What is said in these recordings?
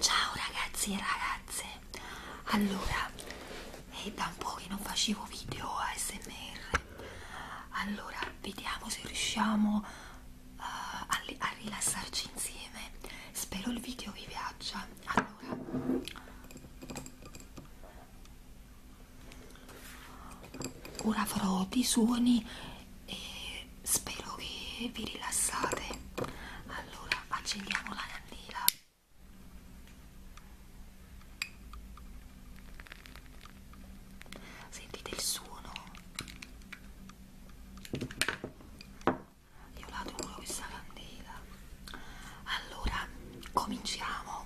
Ciao ragazzi e ragazze, allora è eh, da un po' che non facevo video ASMR, allora vediamo se riusciamo uh, a, a rilassarci insieme, spero il video vi piaccia, allora ora farò dei suoni e spero che vi rilassate allora accendiamo la candela sentite il suono io adoro questa candela allora cominciamo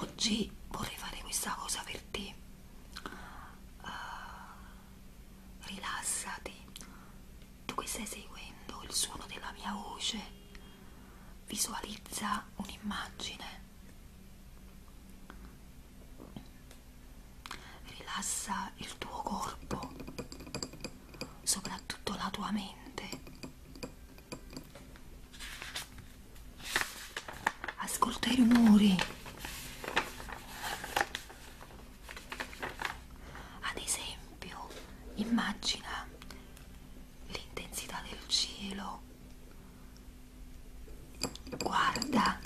Oggi vorrei fare questa cosa per te. Uh, rilassati, tu che stai seguendo il suono della mia voce, visualizza un'immagine. Rilassa il tuo corpo, soprattutto la tua mente Ascolta i rumori. Ad esempio, immagina l'intensità del cielo. Guarda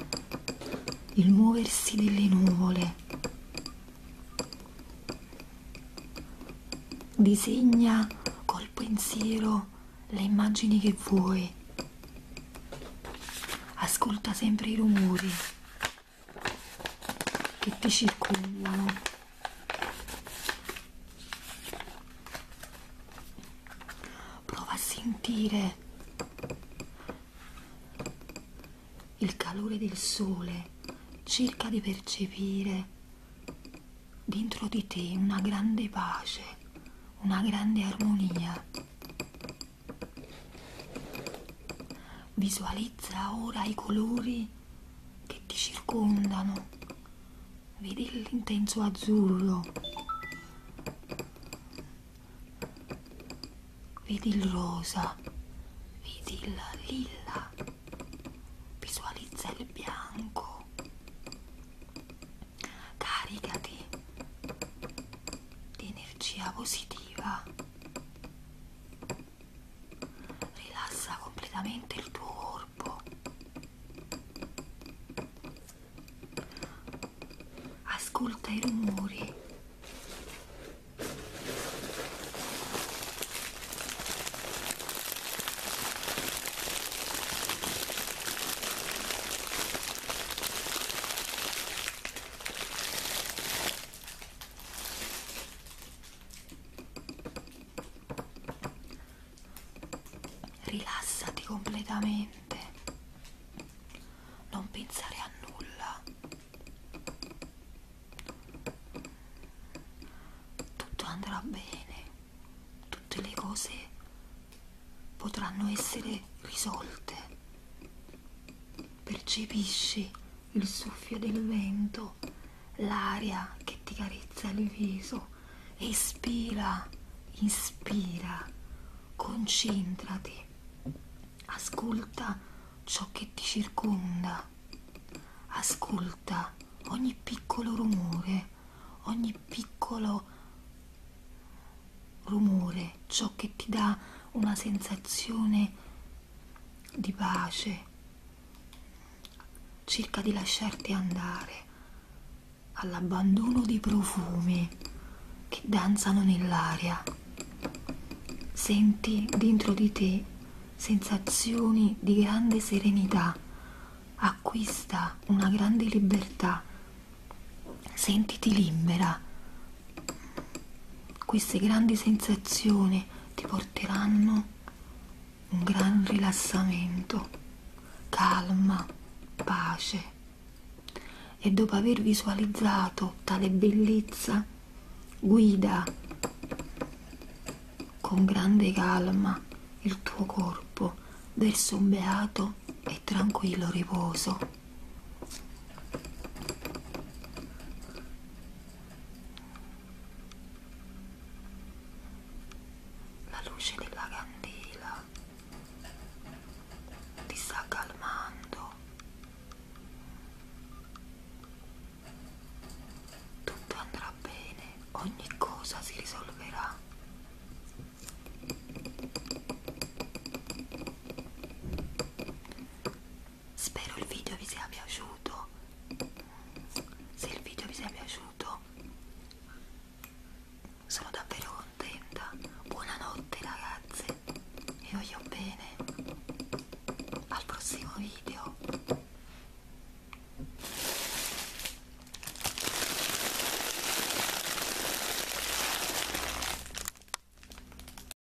il muoversi delle nuvole Disegna col pensiero le immagini che vuoi. Ascolta sempre i rumori che ti circondano. Prova a sentire il calore del sole, cerca di percepire dentro di te una grande pace, una grande armonia. Visualizza ora i colori che ti circondano, vedi l'intenso azzurro, Vedi il rosa, vedi il lilla, visualizza il bianco. Caricati di energia positiva. Rilassa completamente il tuo corpo ascolta i rumori rilassati completamente niente non pensare a nulla tutto andrà bene tutte le cose potranno essere risolte percepisci il soffio del vento l'aria che ti carezza il viso Espira, inspira, concentrati, ascolta ciò che ti circonda, ascolta ogni piccolo rumore, ogni piccolo rumore, ciò che ti dà una sensazione di pace. Cerca di lasciarti andare all'abbandono di profumi che danzano nell'aria. Senti dentro di te sensazioni di grande serenità, acquista una grande libertà, sentiti libera. Queste grandi sensazioni ti porteranno un gran rilassamento, calma, pace. E dopo aver visualizzato tale bellezza, guida con grande calma il tuo corpo verso un beato e tranquillo riposo. La luce della candela ti sta calmando. Tutto andrà bene, ogni cosa si risolverà spero il video vi sia piaciuto se il video vi sia piaciuto sono davvero contenta buonanotte ragazze vi voglio bene al prossimo video